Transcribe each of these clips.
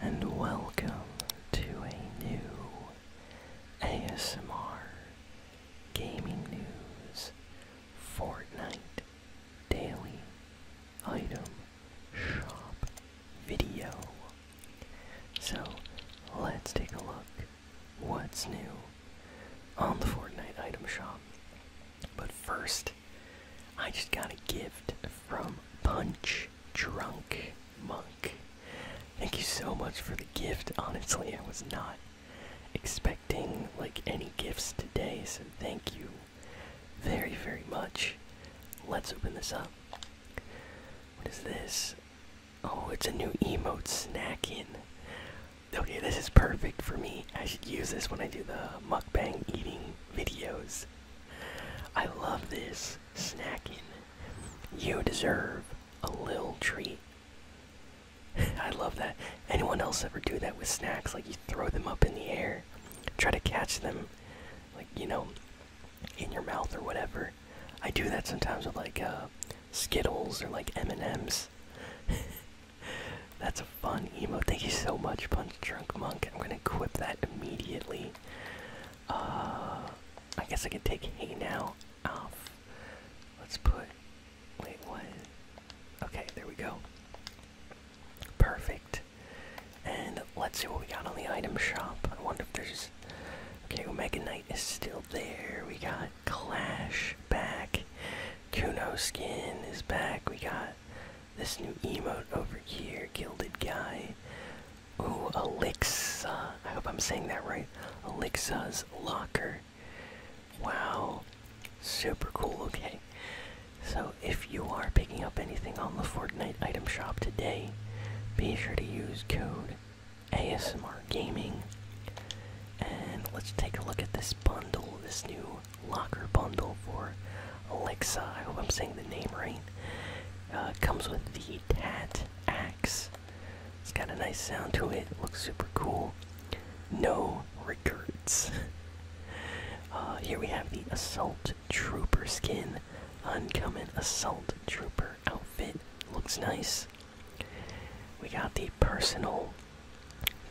and welcome to a new ASMR Gaming News Fortnite Daily Item Shop video. So let's take a look what's new on the Fortnite Item Shop. But first, I just got a gift from Punch drunk monk. Thank you so much for the gift. Honestly, I was not expecting like any gifts today, so thank you very, very much. Let's open this up. What is this? Oh, it's a new emote snacking. Okay, this is perfect for me. I should use this when I do the mukbang eating videos. I love this snacking. You deserve a little treat. I love that. Anyone else ever do that with snacks? Like you throw them up in the air, try to catch them, like you know, in your mouth or whatever. I do that sometimes with like uh, Skittles or like M and M's. That's a fun emote. Thank you so much, Punch Drunk Monk. I'm gonna equip that immediately. Uh, I guess I can take Hey Now off. Let's put. Wait, what? Okay, there we go. Perfect. And let's see what we got on the item shop. I wonder if there's. Okay, Omega Knight is still there. We got Clash back. Kuno skin is back. We got this new emote over here, Gilded Guy. Oh, Elixa. I hope I'm saying that right. Elixa's Locker. Wow. Super cool. Okay. So, if you are picking up anything on the Fortnite item shop today, be sure to use code ASMR Gaming. And let's take a look at this bundle, this new locker bundle for Alexa, I hope I'm saying the name right. Uh, comes with the Tat Axe. It's got a nice sound to it, looks super cool. No recruits. Uh, here we have the Assault Trooper skin. Uncommon Assault Trooper outfit. Looks nice. We got the personal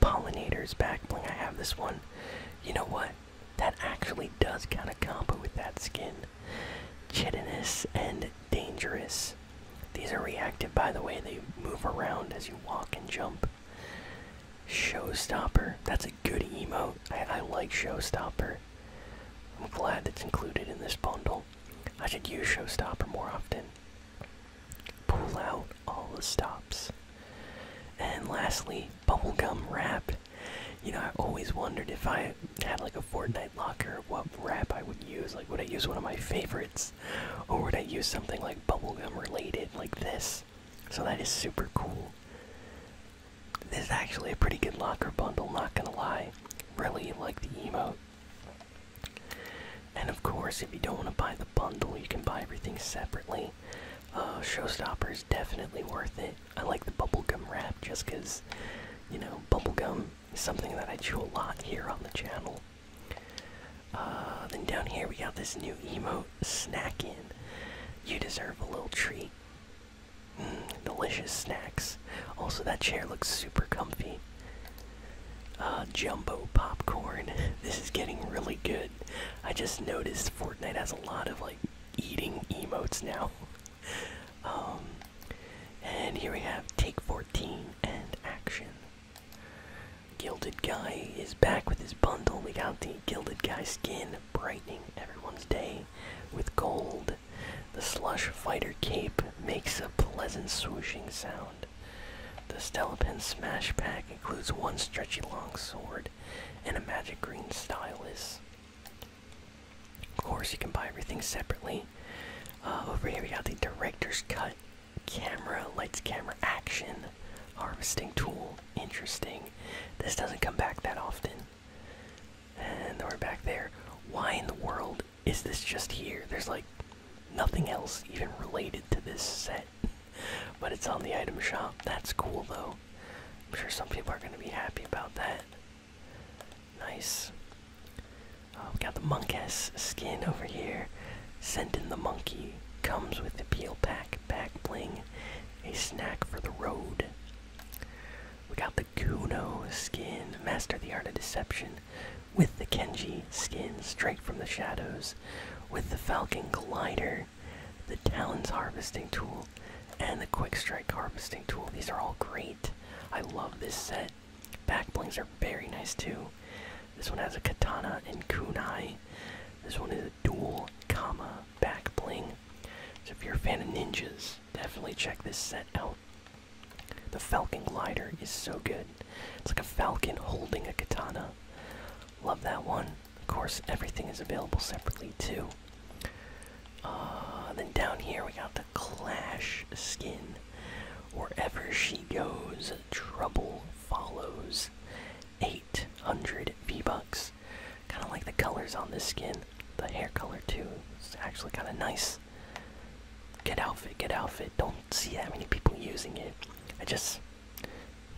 pollinators back bling. I have this one. You know what? that actually does kind of combo with that skin. Chitinous and dangerous. These are reactive, by the way. They move around as you walk and jump. Showstopper. That's a good emote. I, like Showstopper. I'm glad that's included in this bundle. I should use Showstopper more often. Pull out all the stops. And lastly, Bubblegum Wrap. You know, I always wondered if I had like a Fortnite locker, what wrap I would use. Like, would I use one of my favorites? Or would I use something like bubblegum related, like this? So that is super cool. This is actually a pretty good locker bundle, not gonna lie. Really like the emote. And of course, if you don't want to buy the bundle, you can buy everything separately. Uh, Showstopper is definitely worth it. I like the bubblegum wrap just because, you know, bubblegum is something that I chew a lot here on the channel. Uh, then down here we got this new emote, Snack In. You deserve a little treat. Mm, delicious snacks. Also, that chair looks super comfy. Uh, jumbo popcorn. This is getting really good. I just noticed Fortnite has a lot of like eating emotes now. Um, and here we have Take 14 and Action. Gilded Guy is back with his bundle. We got the Gilded Guy skin, brightening everyone's day with gold. The Slush Fighter Cape makes a pleasant swooshing sound. The Stellipin Smash Pack includes one stretchy long sword and a magic green stylus. Of course, you can buy everything separately. Uh, over here, we got the director's cut camera, lights, camera, action, harvesting tool. Interesting. This doesn't come back that often. And we're back there. Why in the world is this just here? There's like nothing else even related to this set. But it's on the item shop. That's cool though. I'm sure some people are going to be happy about that. Nice. Oh, we got the Monkess skin over here. Sent in the monkey. Comes with the peel pack, back bling, a snack for the road. We got the Kuno skin, Master the Art of Deception, with the Kenji skin, straight from the shadows, with the Falcon Glider the Talons Harvesting Tool, and the Quick Strike Harvesting Tool. These are all great. I love this set. Back blings are very nice too. This one has a katana and kunai. This one is a dual comma back bling. So if you're a fan of ninjas, definitely check this set out. The Falcon Glider is so good. It's like a falcon holding a katana. Love that one. Of course, everything is available separately too. Uh, then down here we got the Clash skin. Wherever she goes, trouble follows. 800 V-Bucks. Kind of like the colors on this skin. The hair color too. It's actually kind of nice. Good outfit, good outfit. Don't see that many people using it. I just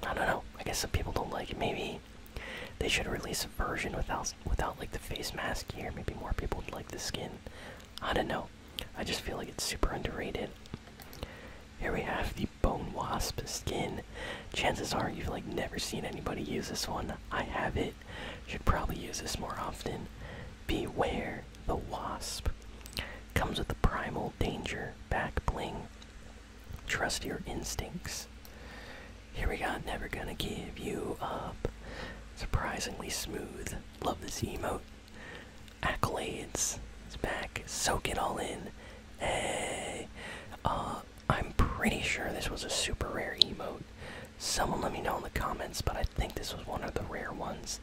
I don't know. I guess some people don't like it. Maybe they should release a version without without like the face mask here. Maybe more people would like the skin. I don't know. I just feel like it's super underrated. Here we have the bone wasp skin. Chances are you've like never seen anybody use this one. I have it. Should probably use this more often. Beware the wasp. Comes with the primal danger back bling. Trust your instincts. Here we go. Never Gonna Give You Up. Surprisingly smooth. Love this emote. Accolades. It's back. Soak it all in. Hey. Uh, I'm pretty sure this was a super rare emote. Someone let me know in the comments, but I think this was one of the rare ones.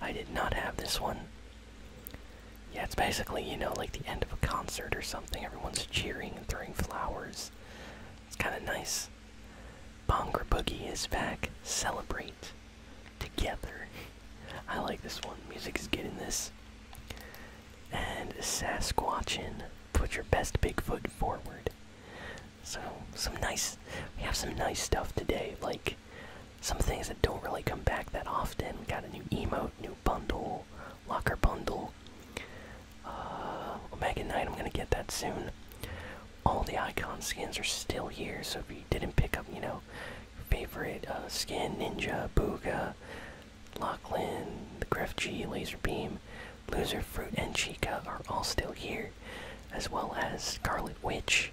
I did not have this one. Yeah, it's basically, you know, like the end of a concert or something. Everyone's cheering and throwing flowers. It's kind of nice. Bongra Boogie is back. Celebrate together. I like this one. Music is getting this. And Sasquatchin, put your best Bigfoot forward. So, some nice. We have some nice stuff today, like some things that don't really come back that often. Got a new emote, new bundle, locker bundle. Uh, Omega Knight, I'm gonna get that soon. All the icon skins are still here, so if you didn't pick up, you know, your favorite uh, skin, Ninja, Booga, Lachlan, the Griff G, Laser Beam, Loser Fruit, and Chica are all still here, as well as Scarlet Witch,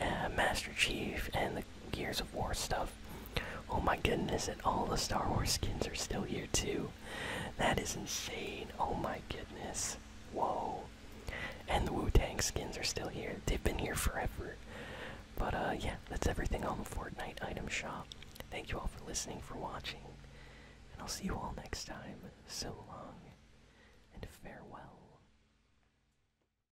uh, Master Chief, and the Gears of War stuff. Oh my goodness, and all the Star Wars skins are still here too. That is insane. Oh my goodness. Whoa. And the Wu Tang skins are still here. They've been here forever. But uh, yeah, that's everything on the Fortnite item shop. Thank you all for listening, for watching, and I'll see you all next time. So long and farewell.